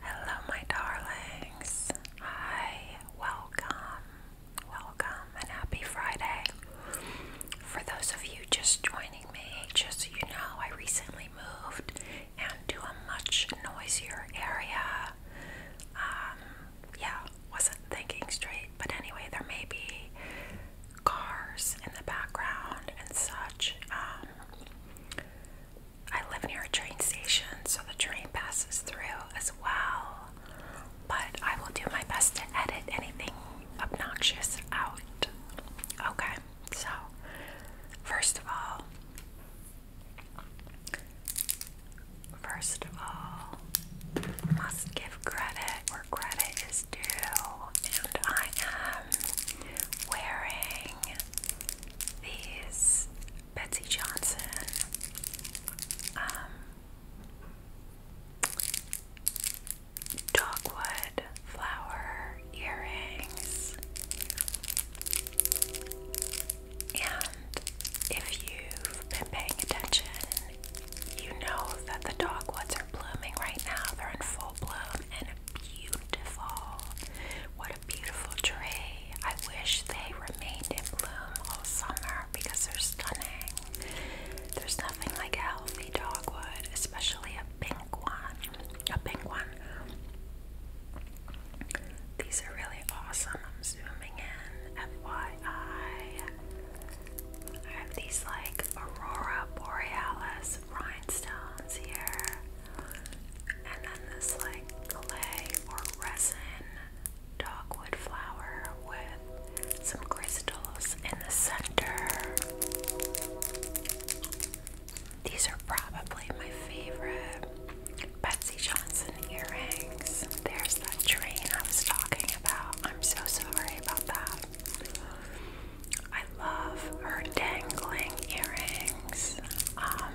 Hello, my darlings. Hi, welcome, welcome, and happy Friday. For those of you just joining me, just you know, I recently moved and to a much noisier area. Um, yeah, wasn't thinking straight, but anyway, there may be cars in the background and such. Um, I live near a train station, so the train passes through as well. But I will do my best to edit anything obnoxious out. Okay, so first of all, First of all, must give credit where credit is is and I am wearing these Betsy Johnson um, dogwood flower earrings. And if you've been paying attention, you know that the dogwoods are blooming right now. They're in full full and beautiful. What a beautiful tree. I wish they remained in bloom all summer because they're stunning. There's nothing like a healthy dogwood, especially a pink one. A pink one. These are really awesome. I'm zooming in. FYI. I have these like Aurora Borealis rhinestones here. And then this like clay or resin dogwood flower with some crystals in the center. These are probably my favorite Betsy Johnson earrings. There's that train I was talking about. I'm so sorry about that. I love her dangling earrings um,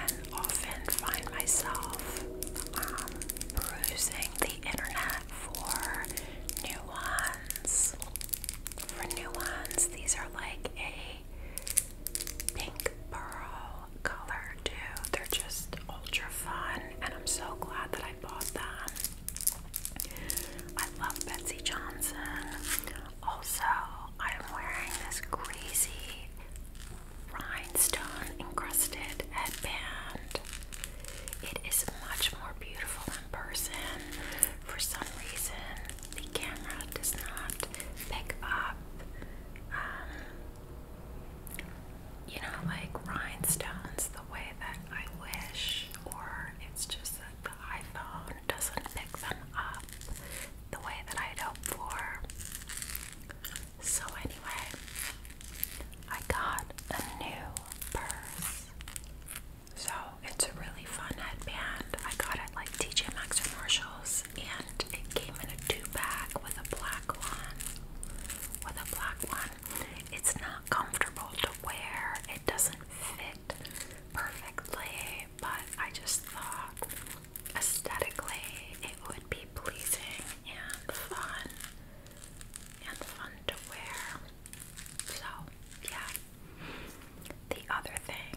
and often find myself um, the internet for new ones. For new ones, these are like a pink pearl color, too. They're just ultra fun, and I'm so glad that I bought them. I love Betsy Johnson. Also, I am wearing this crazy rhinestone encrusted headband. It is much more beautiful in person. For some reason, the camera does not pick up, um, you know, like rhinestones the way that I wish, or it's just that the iPhone doesn't pick them up the way that I'd hoped for. So, anyway, I got a new purse. So, it's a really fun headband. I got it like TJ Maxx or Marshalls, and it came in a two pack with a black one. With a black one. It's not comfortable to wear. It doesn't fit perfectly, but I just thought aesthetically it would be pleasing and fun and fun to wear. So, yeah. The other thing.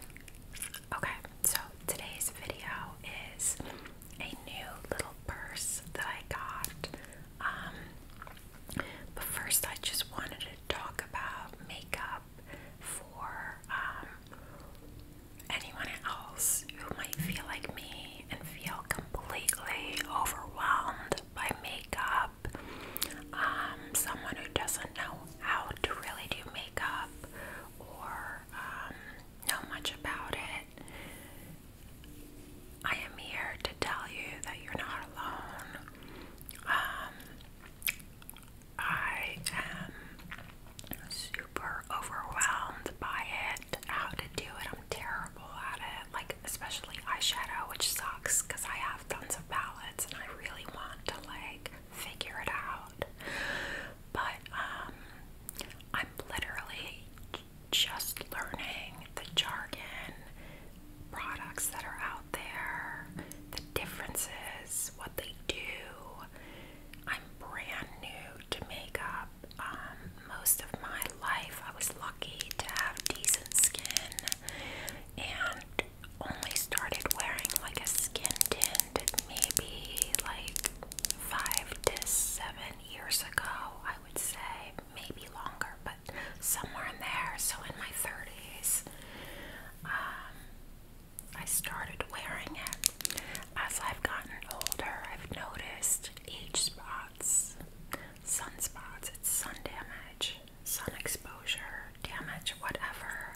Okay, so today's video is a new little purse that I got. Um, but first, I just wanted to talk about makeup for um, anyone else who might feel like me and feel completely overwhelmed by makeup. Um, someone who doesn't know how to really do makeup or um, know much about it. I am here to tell you that you're not alone. Um, I am super overwhelmed by it, how to do it. I'm terrible at it, like, especially eyeshadow, which sucks because I have tons of palettes and I really want to, like, figure it out. But, um, I'm literally just learning the jargon products that are out there, the differences, what they do. I'm brand new to makeup. Um, most of my life, I was lucky to have decent skin and only started wearing like a skin tint maybe like five to seven years ago, I would say maybe longer, but somewhere in there. So in my 30s, um, I started wearing it. As I've gotten older, I've noticed age spots, sunspots, it's sun damage, sun exposure, damage, whatever.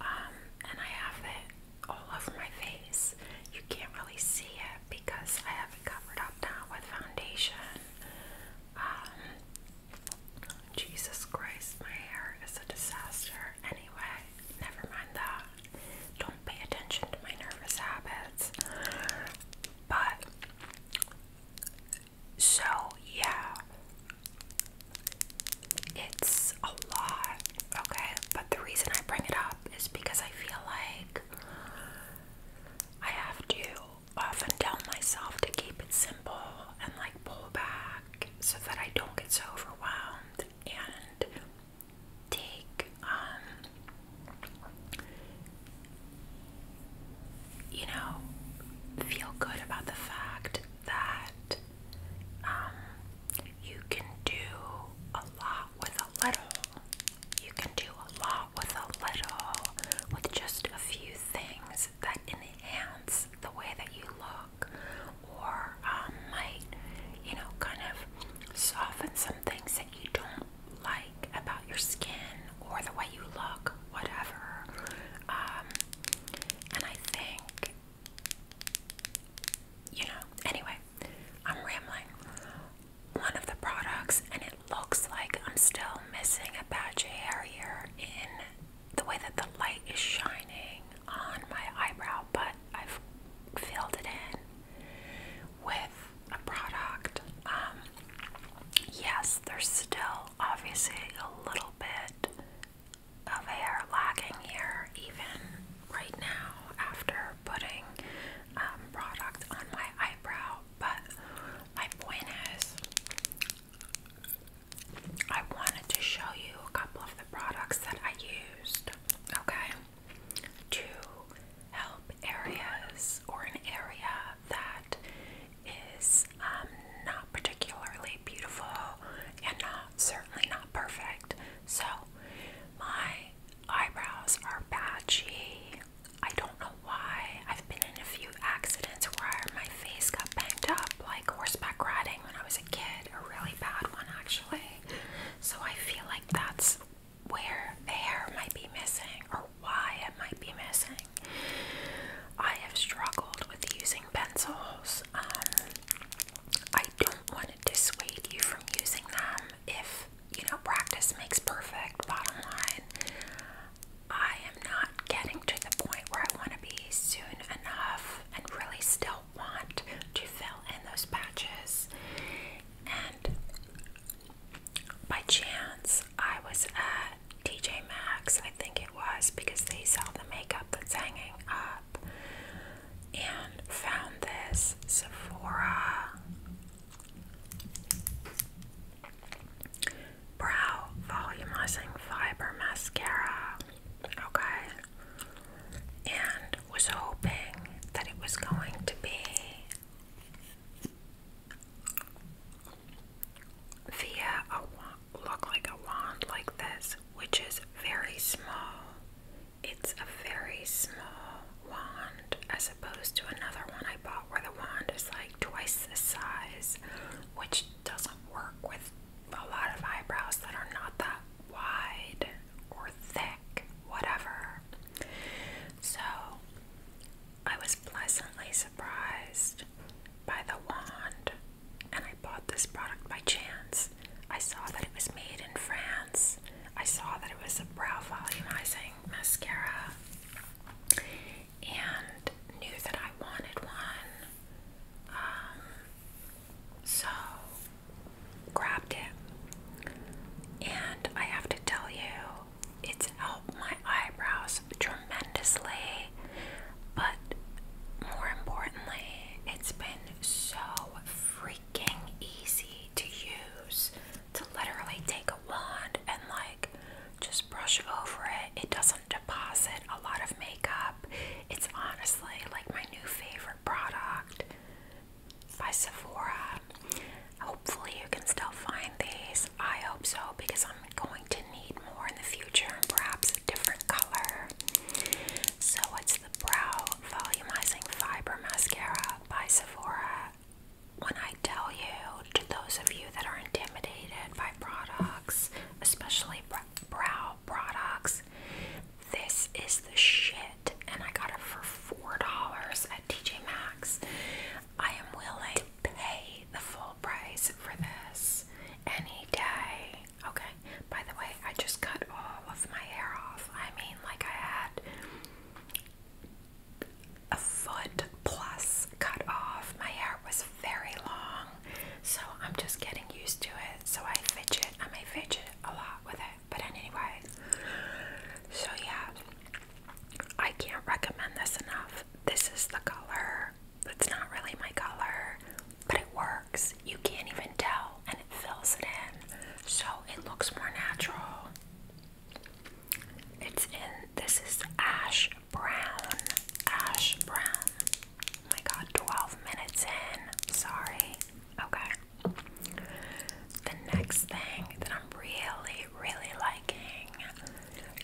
Um, and I have it all over my face. You can't really see it because I have it covered up now with foundation. Ah. Jesus Christ, my hair is a disaster. Anyway, never mind that. Don't pay attention to my nervous habits. But, so yeah, it's a lot, okay? But the reason I bring it up is because I feel like I have to often tell myself to keep it simple and like pull back so that I don't get so overwhelmed and take, um, you know, feel good about the fact that um, you can do a lot with a little. You can do a lot with a little, with just a few things that enhance the way that you look, or um, might, you know, kind of soften some things that you don't like about your skin or the way you look, whatever. Um, and I think, you know, anyway, I'm rambling. One of the products, and looks like I'm still missing a patch of hair here in the way that the light is shining on my eyebrow, but I've filled it in with a product. Um, yes, there's still obviously a little bit of hair lagging here, even right now after putting um, product on my eyebrow. But my point is, I wanted to show you a couple of the products that I used, okay, to help areas or an area that is um, not particularly beautiful and not certainly not perfect. So my eyebrows are patchy. I don't know why. I've been in a few accidents where my face got banged up, like horseback riding when I was a kid, a really bad one actually. So I feel like that's where the hair might be missing or why it might be missing. I have struggled with using pencils. Um, I don't want to dissuade you from using them if, you know, practice makes perfect, bottom line. I am not getting to the point where I want to be soon enough and really still want to fill in those patches. And by chance, I was at TJ Maxx, I think it was, because they sell the makeup that's hanging up, and found this Sephora Brow Volumizing Fiber Mascara. Okay. And was hoping that it was going to be via a look like a wand like this, which is very small. It's a very small wand as opposed to another one I bought where the wand is like twice the size, which doesn't work with a lot of eyebrows that are not that wide or thick, whatever. So I was pleasantly surprised by the wand, and I bought this product by chance. I saw that it was made in France. I saw that it was a brow volumizing mascara and knew that I wanted one. Um, so grabbed it. And I have to tell you, it's helped my eyebrows tremendously, but more importantly, it's been so freaking easy to use to literally take a wand and like just brush over it. It doesn't deposit a lot of makeup. It's honestly like my new favorite product by Sephora. Hopefully, you can still find these. I hope so because I'm going to need more in the future and perhaps a different color. So, it's the Brow Volumizing Fiber Mascara by Sephora when I tell you, to those of you that are intimidated by products, especially brow products, this is the shit, and I got it for four dollars at TJ Maxx. I am willing to pay the full price for this any day. Okay. By the way, I just cut all of my hair off. I mean, like I had a foot plus cut off. My hair was very long, so I'm just getting used to it. So I fidget, I may fidget a lot with it, but anyway. So yeah, I can't recommend this enough. This is the color. It's not really my color, but it works. You can't even tell, and it fills it in, so it looks more natural. It's in this is ash brown. Ash brown. Oh my god, 12 minutes in. Sorry. Okay. The next thing that I'm really, really liking,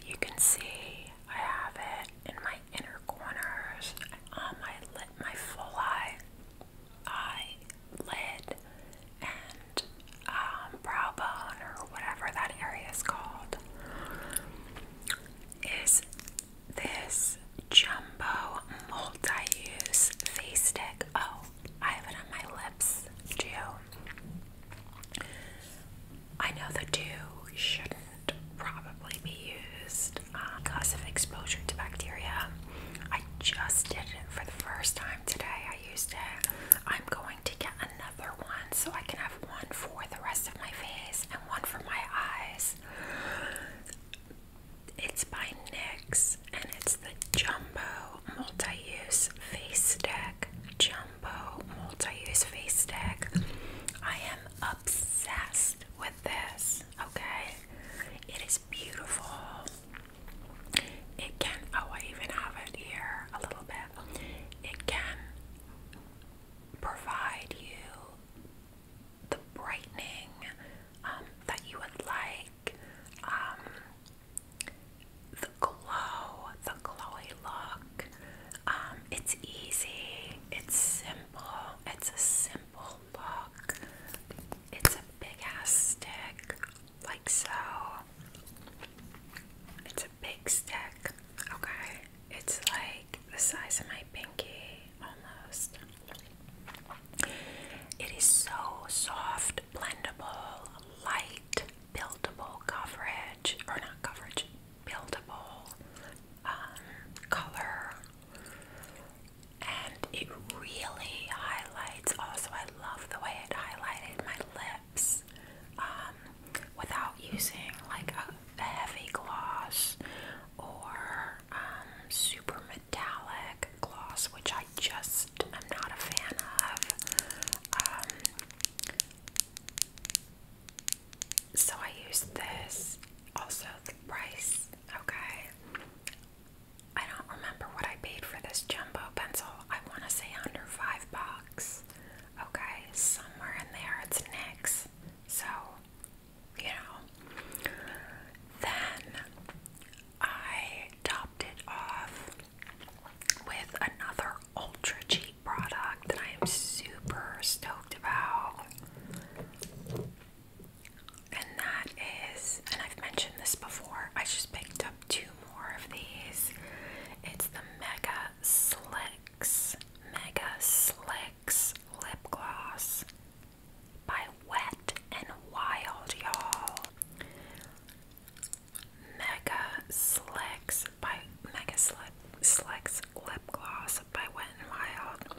you can see I have it in my inner corners, on my lid, my full eye, eye lid, and um, brow bone or whatever that area is called is this jumbo multi-use face stick. Oh, I have it on my lips too. I know the dew shouldn't probably be used uh, because of exposure to bacteria. I just did it for the first time today. I used it. I'm going to get another one so I can have one for the rest of my face and one for my eyes. It's by NYX and it's the Jumbo Multi-Use Face Deck. Jumbo Multi-Use Face Deck. I am obsessed with this, okay? It is beautiful. It can, oh, I even have it here a little bit. It can provide you the brightening um, that you would like, um, the glow, the glowy look. Um, it's easy, it's simple, it's a simple look. It's a big ass stick, like so. It's a big stick, okay? It's like the size of my pinky almost. It is so soft, blendable, light, buildable coverage, or not coverage, buildable um, color. And it really highlights. Also, I love the way it highlighted my lips. Um, without using like a, heavy gloss or um, super metallic gloss, which I just am not a fan of. Um, so I use this. Also, the price, okay. I don't remember what I paid for this jumbo pencil. I want to say under five bucks. Okay, somewhere in there it's Nyx. So, you know. Then I topped it off with another ultra cheap product that I am super stoked about. And that is, and I've mentioned this before, I just picked up two more of these. It's the Mega Slicks Mega Slicks Lip Gloss by Wet and Wild, y'all. Mega Slicks by Mega Slick, Slicks Lip Gloss by Wet and Wild.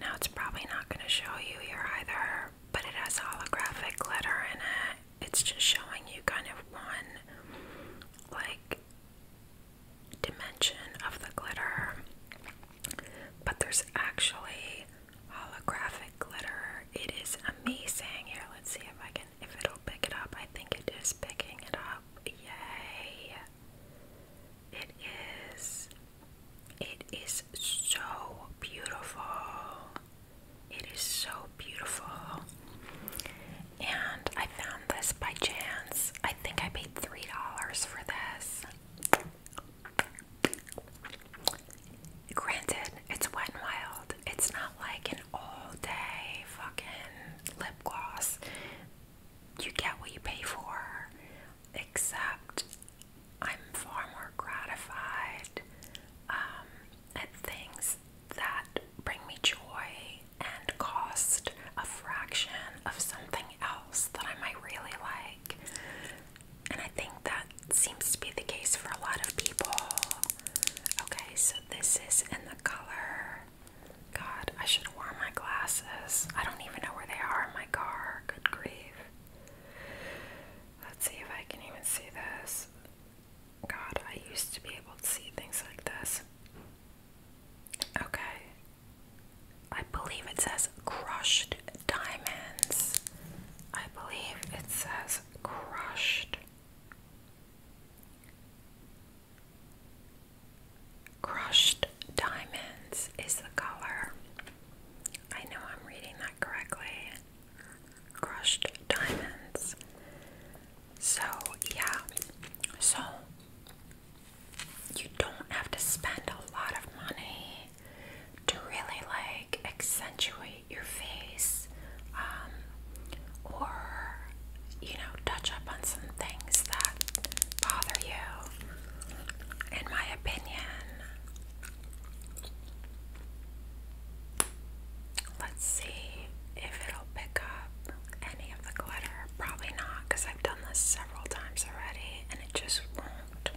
Now it's probably not going to show you here either, but it has holographic glitter in it. It's just showing you kind of one, like, dimension of the glitter, but there's actually holographic glitter. It is amazing. Here, let's see if I can if it'll pick it up. I think it is picking it up. Yay! It is. It is so beautiful. It is so beautiful. And I found this by chance. I think I paid $3 for this. Granted, it's wet and wild. It's not like an all day fucking lip gloss. You get what you pay for, except I'm far more gratified um, at things that bring me joy and cost a fraction of something else that I might really like. And I think that seems to be the case for a lot of people. Okay, so this is in the color. God, I should have worn my glasses. I don't even know where they are in my car. Good grief. Let's see if I can even see this. God, I used to be able to see things like this. Okay. I believe it says crushed diamonds. I believe it says crushed. Crushed diamonds is the color. I know I'm reading that correctly. Crushed diamonds. So, yeah. So, you don't have to spend a lot of money to really like accentuate your face um, or, you know, touch up on some things that bother you, in my opinion. Let's see if it'll pick up any of the glitter. Probably not because I've done this several times already and it just won't.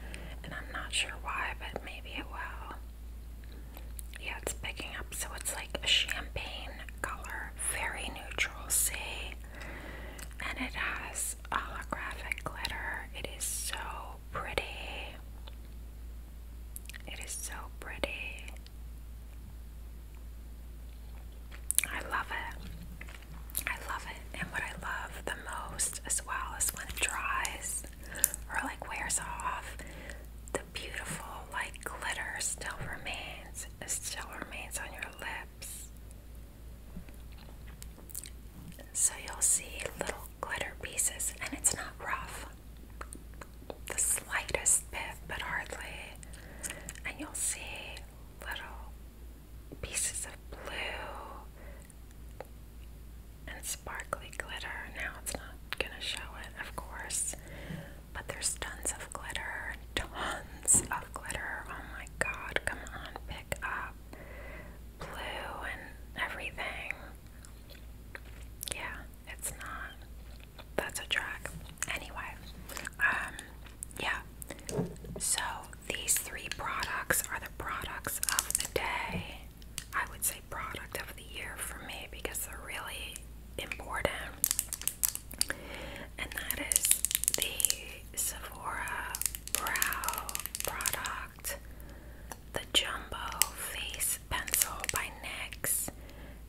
And I'm not sure why, but maybe it will. Yeah, it's picking up. So it's like a champagne color, very neutral, see? And it has holographic glitter. It is so pretty. It is so pretty. I love it. I love it. And what I love the most as well is when it dries or like wears off, the beautiful like glitter still remains. It still remains on your lips. So you'll see little glitter pieces and it's not rough the slightest bit, but hardly, and you'll see little pieces of blue and sparkly glitter. Now it's not gonna show it, of course, but there's tons of glitter, tons of glitter. Oh my god, come on, pick up blue and everything. Yeah, it's not. That's a track. Anyway, um, yeah. So these three products are the products of the day. I would say product of the year for me because they're really important. And that is the Sephora Brow product, the Jumbo Face Pencil by NYX,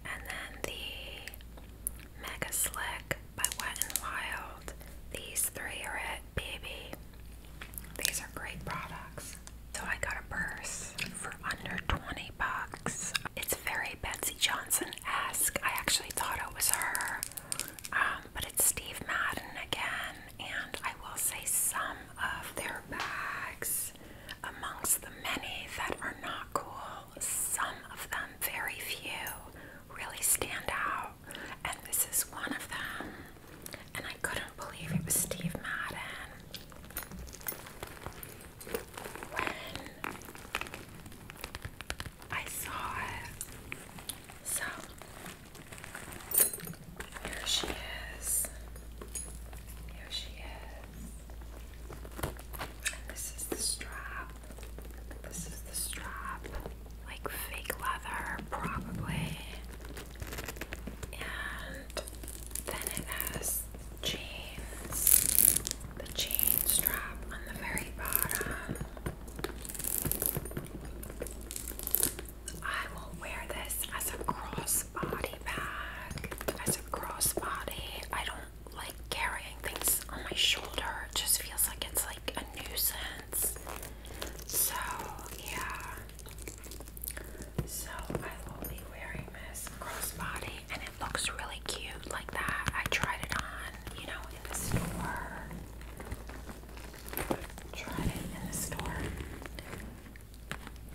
and then the Mega Slick by Wet n Wild. These three are it, baby. These are great products. So I got a purse for under 20 bucks. It's very Betsy Johnson-esque. I actually thought it was her. Um, but it's Steve Madden again, and I will say some of their bags Amongst the many that are not cool, some of them, very few, really stand out, and this is one of them. And I couldn't believe it was Steve Madden. When I saw it. So, here she is. Here she this is the strap. This is the strap. Like fake leather, probably. And then it has chains. The chain strap on the very bottom. I will wear this as a crossbody bag. As a crossbody. I don't like carrying things on my shoulder. just feels like it's like a nuisance. So, yeah. So, I will be wearing this crossbody and it looks really cute like that. I tried it on, you know, in the store. Tried it in the store.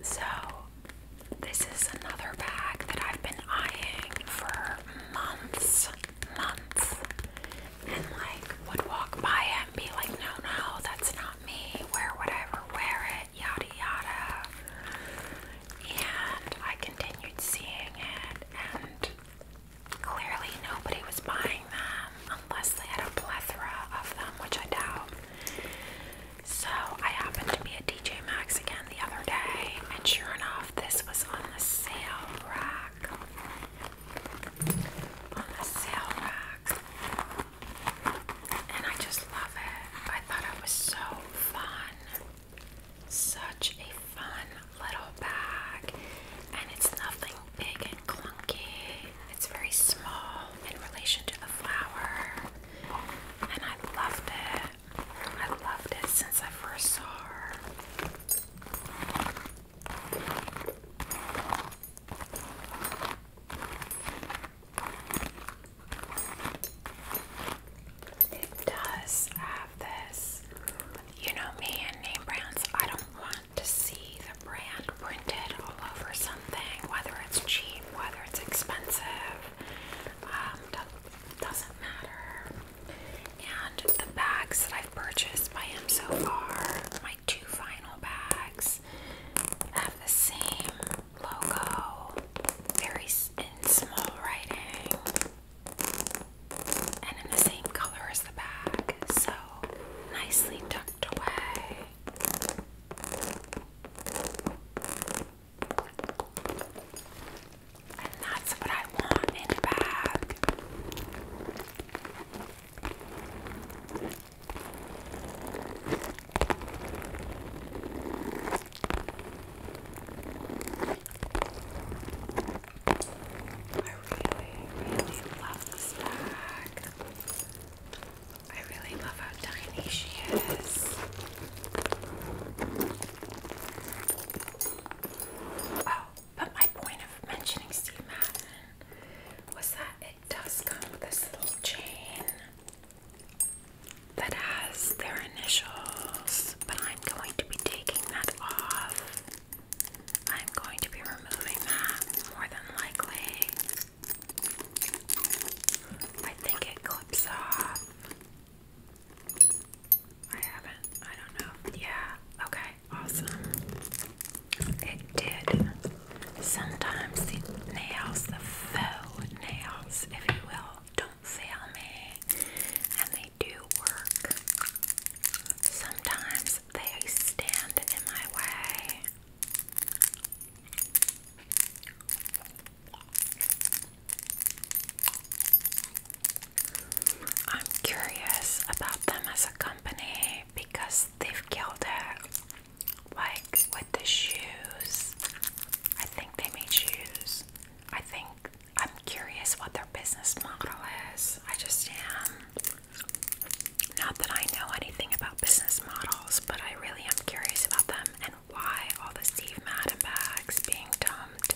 So, this is another bag that I've been eyeing for months, months, and like would walk by it and be like, no, no, that's not me. Where would I ever wear it? Yada yada. And I continued seeing it, and clearly nobody was buying them unless they had a plethora of them, which I doubt. So I happened to be at DJ Maxx again the other day, and sure enough, this was on the sale rack. On the sale rack. And I just love it. I thought it was so fun. Such a fun little bag. And it's nothing big and clunky. It's very small in relation to the flower. And I loved it but I loved it since I first saw her. It does have this. You know me and name brands, I don't want to see the brand printed all over something, whether it's cheap, whether it's expensive. Um, doesn't matter. And the bags that I've purchased by him so far, my two final bags, have the same logo, very in small writing, and in the same color as the bag, so nicely tucked away. And that's what I want in a bag. I really, really love this bag. I really love how tiny she is. Oh, but my point of mentioning Steve Madden was that it does come with this little chain that has their initials, but I'm going to be taking that off. I'm going to be removing that more than likely. I think it clips off. I haven't. I don't know. Yeah. Okay. Awesome. It did. Sometimes the nails, the faux nails, if you will, don't fail me. And they do work. Sometimes they stand in my way. I'm curious about them as a company because they've killed it. Like with the shoes, I think they made shoes. I think I'm curious what their business model is. I just am. Not that I know anything about business models, but I really am curious about them why all the Steve Madden bags being dumped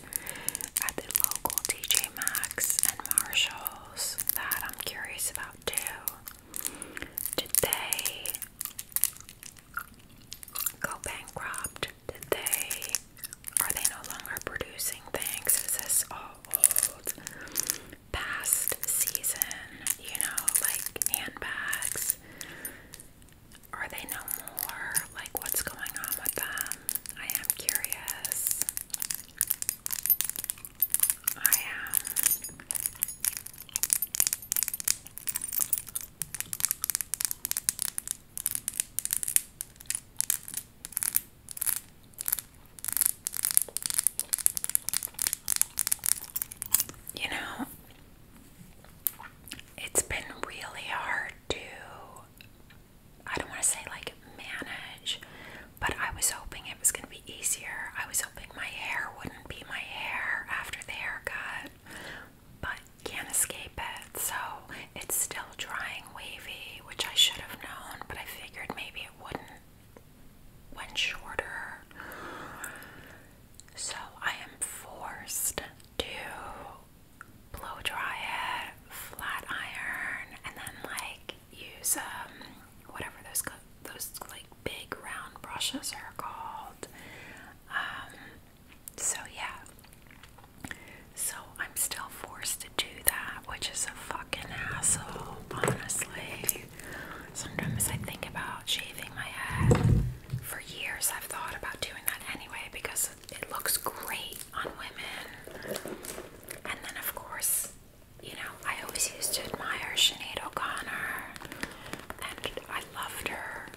at the local TJ Maxx and Marshalls that I'm curious about too. Did they go bankrupt? Did they are they no longer producing things? Is this all old past season, you know, like handbags? Are they no more? Like, what's going on with them? I am curious. I am. You know, it's been really hard to I don't want to say like manage, but I was hoping it was going to be easier. I was hoping my hair wouldn't be my hair after the haircut, but can't escape it. So it's still drying wavy, which I should have known, but I figured maybe it wouldn't when shorter. So I am forced to blow dry it, flat iron, and then like use um whatever those those like big round brushes are called. Um, so yeah, so I'm still forced to do that, which is a fucking asshole. honestly. Sometimes I think about shaving my head. For years, I've thought about doing that anyway because it looks great on women. And then, of course, you know, I always used to admire Sinead O'Connor, and I loved her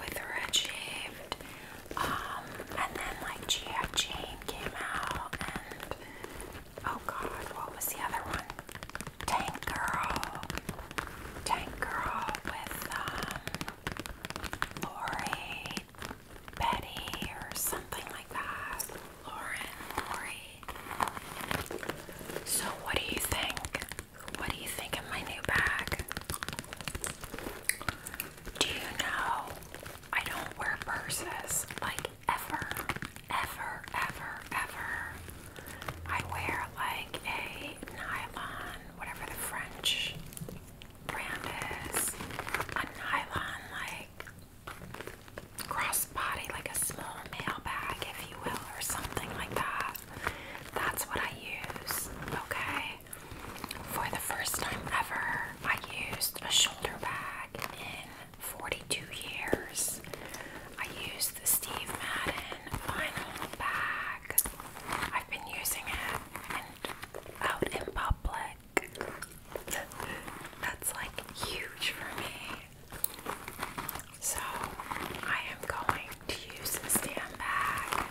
with her head shaved. Um, and then, like, G.I. Jane came out, and oh god, what was the other one? Tank Girl. Tank Girl with, um, Lori, Betty, or something like that. Lauren, Lori. So, what do you think? What do you think of my new bag? Do you know I don't wear purses like ever, ever, ever, ever? I wear like a nylon, whatever the French brand is, a nylon like crossbody, like a small mail if you will, or something like that. That's what I use, okay? For the first time ever, I used a shoulder bag in 42 years. I used the Steve Madden vinyl bag bag. I've been using it and out in public. That's like huge for me. So I am going to use this damn bag.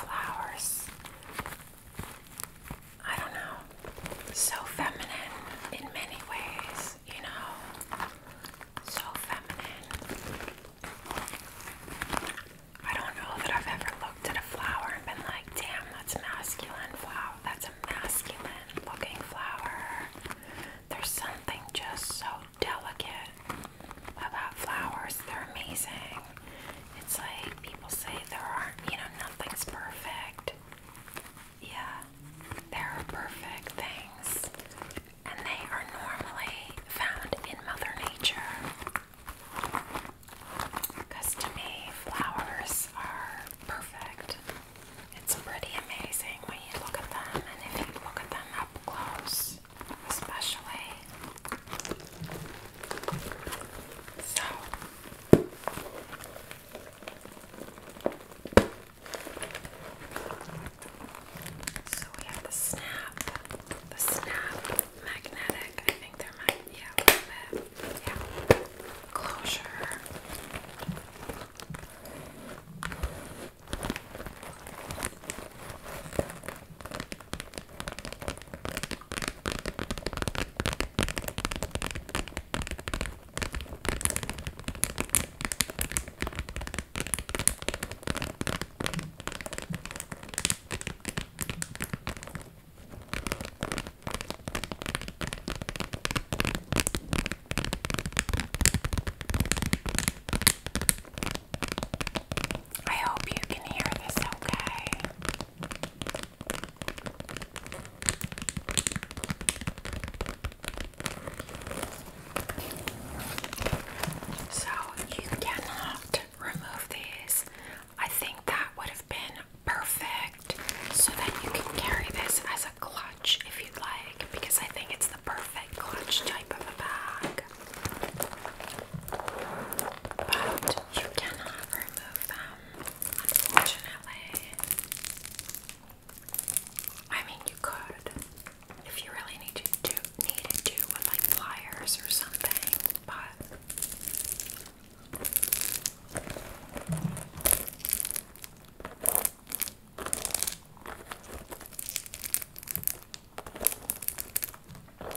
Flowers I don't know, so feminine in many ways, you know, so feminine. I don't know that I've ever looked at a flower and been like, damn, that's masculine flower. That's a masculine looking flower. There's something just so delicate about flowers. They're amazing. It's like people say there aren't, you know, nothing's perfect. Yeah, there are perfect things, and they are normally found in Mother Nature. Because to me, flowers are perfect. It's pretty amazing when you look at them, and if you look at them up close, especially, so so we have the snap, the snap magnetic. I think there might be yeah, a little bit. Yeah. Closure. I hope you can hear this okay. So you cannot remove these. I think that would have been perfect so that you can carry this as a clutch if you'd like, because I think it's the perfect clutch type of a bag. But you cannot remove them, unfortunately. I mean, you could if you really need to do to with like pliers or something, but. Okay.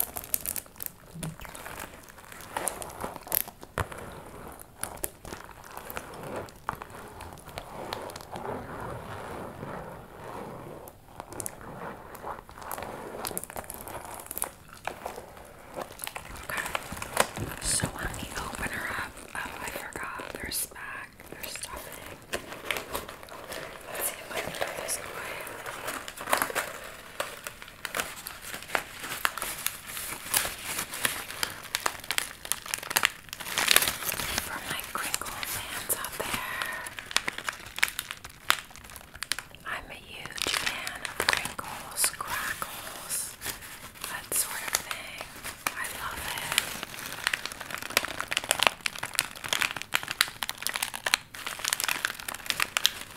So on the opener up, oh I forgot, there's back, there's stuff in it. Let's see if I can put this away. For my crinkle fans out there, I'm a huge fan of crinkles, crackles, that sort of thing. I love it.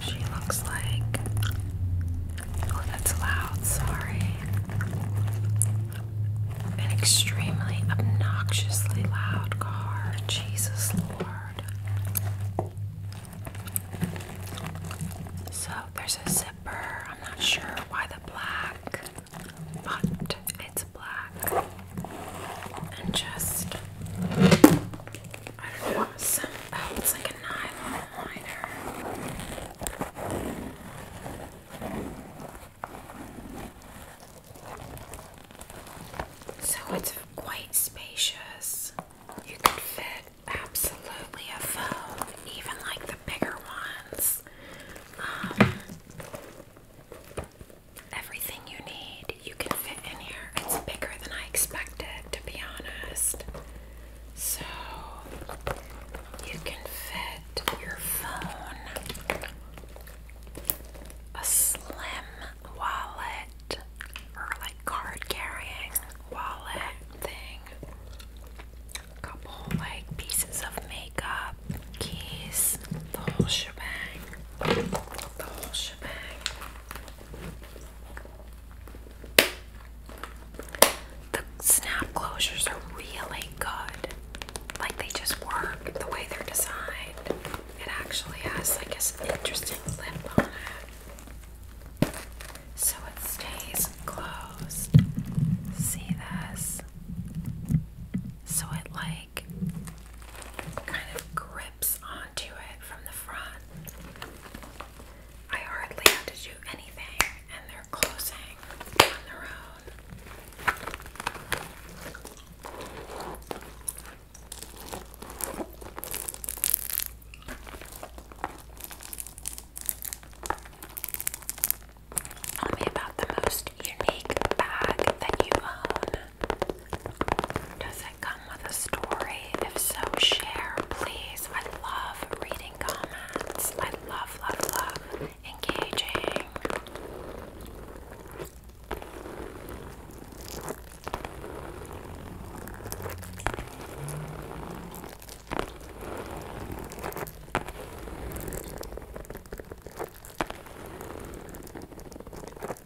she looks like. Oh, that's loud, sorry. An extremely obnoxiously loud car. Jesus Lord. So there's a zipper. I'm not sure why the black, but it's black. And just I oh, it's like a nylon liner. So it's quite spacious. You can fit absolutely a phone, even like the bigger ones. Um, everything you need you can fit in here. It's bigger than I expected, to be honest. So you can fit your phone, a slim wallet, or like card carrying wallet thing, a couple like pieces of makeup, keys, the whole shebang. The whole shebang. The snap closures are really good. Like they just work the way they're designed. It actually has like an interesting lip on it. So it stays closed. See this? So it like kind of grips on onto it from the front. I hardly had to do anything, and they're closing on their own. Tell me about the most unique bag that you own. Does it come with a story? If so, share, please. I love reading comments. I love, love, love engaging.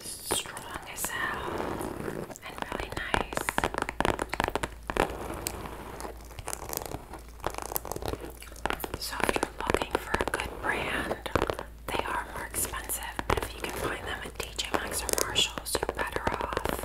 strong as hell and really nice. So if you're looking for a good brand, they are more expensive, but if you can find them at TJ Maxx or Marshalls, you're better off.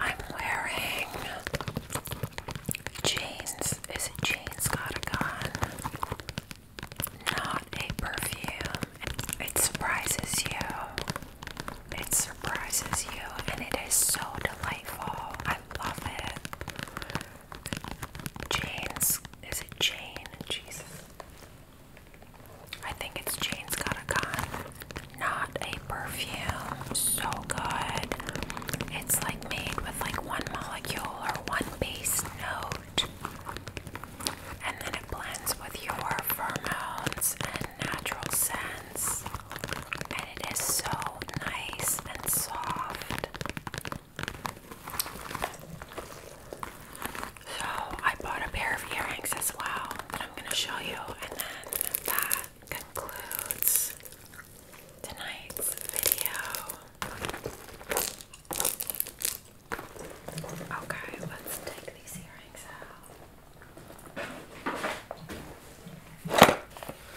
I'm wearing jeans. Is it jeans got a gun? Not a perfume. It surprises you. It surprises you, and it is so delightful. I love it. Jane's is it Jane? Jesus. I think it's Jane's got a gun. Not a perfume. So good. It's like made with like one molecule or one base note and then it blends with your pheromones and natural scents, and it is so nice and soft. So, I bought a pair of earrings as well that I'm going to show you, and then that concludes tonight's video. Okay, let's take these earrings out.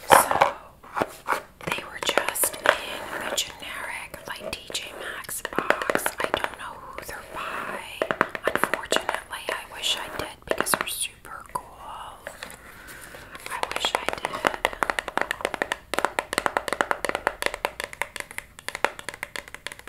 So, they were just in the generic, like DJ Maxx box. I don't know who they're by. Unfortunately, I wish I did because they're super cool. I wish I did.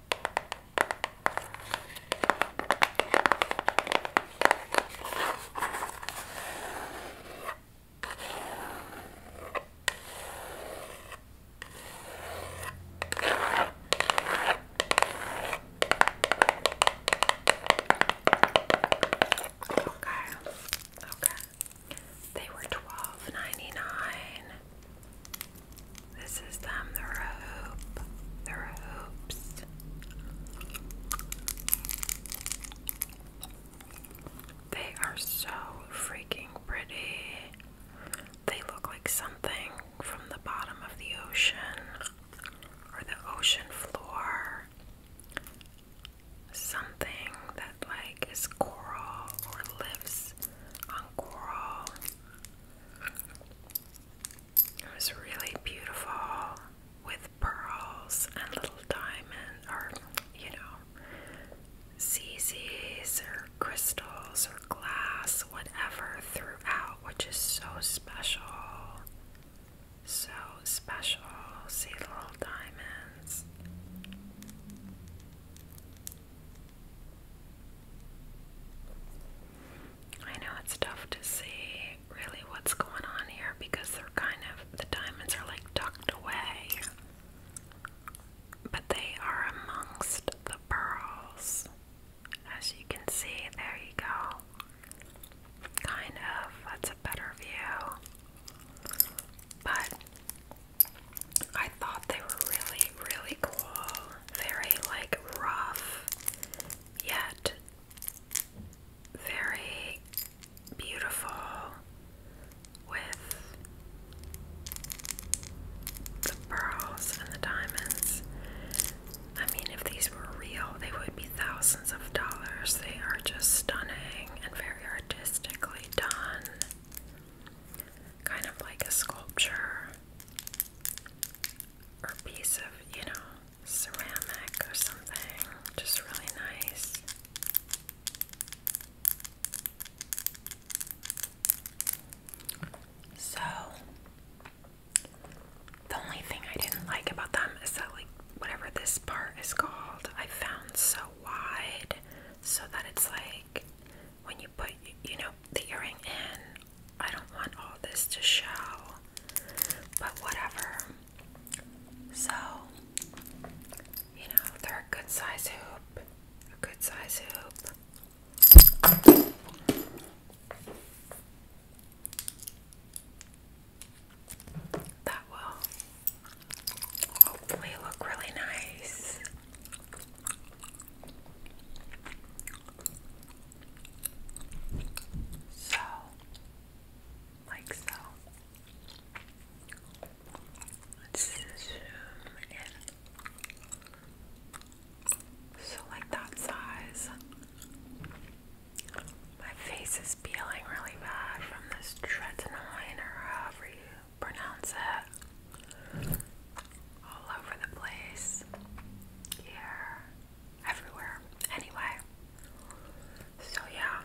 Okay. Okay. They were twelve ninety nine. This is them, the rope, the ropes. They are so freaking pretty. They look like something from the bottom of the ocean or the ocean floor. Something that like is coral or lives on coral. It was really beautiful with pearls and little diamonds, or you know CZs or crystals or glass, whatever throughout, which is so special. So special. See little diamonds. I know it's tough to see really what's going on here because they're kind of, the diamonds are like tucked away, but they are amongst the pearls. As you can see, there you go. Kind of, that's a better view. But I thought they were really, really cool very like rough yet very beautiful with the pearls and the diamonds. I mean, if these were real, they would be thousands of dollars. They are just stunning and very artistically done. Kind of like a sculpture or piece of, you know, ceramic or something. Just really nice. So, the only thing I didn't like about them is that, like, whatever this part is called, I found so wide so that it's like when you put, you know, the earring in I don't want all this to show, but whatever. So, you know, they're a good size hoop, a good size hoop. That will hopefully look really nice. So, like so. Let's zoom in. So, like that size. My face is peeling really bad from this tretinoin or do you pronounce it all over the place, here, everywhere. Anyway, so yeah,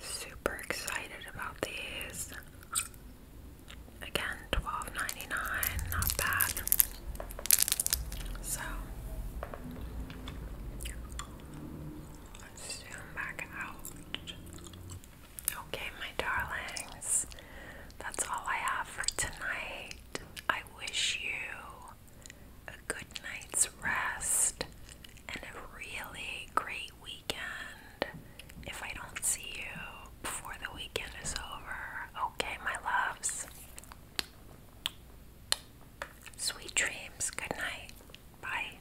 super excited about these. Again, twelve ninety nine, not bad. So zoom back out. Okay, my darlings, that's all I have for tonight. I wish you a good night's rest and a really great weekend. If I don't see you before the weekend is over, okay, my loves. Sweet dreams. Good night. Bye.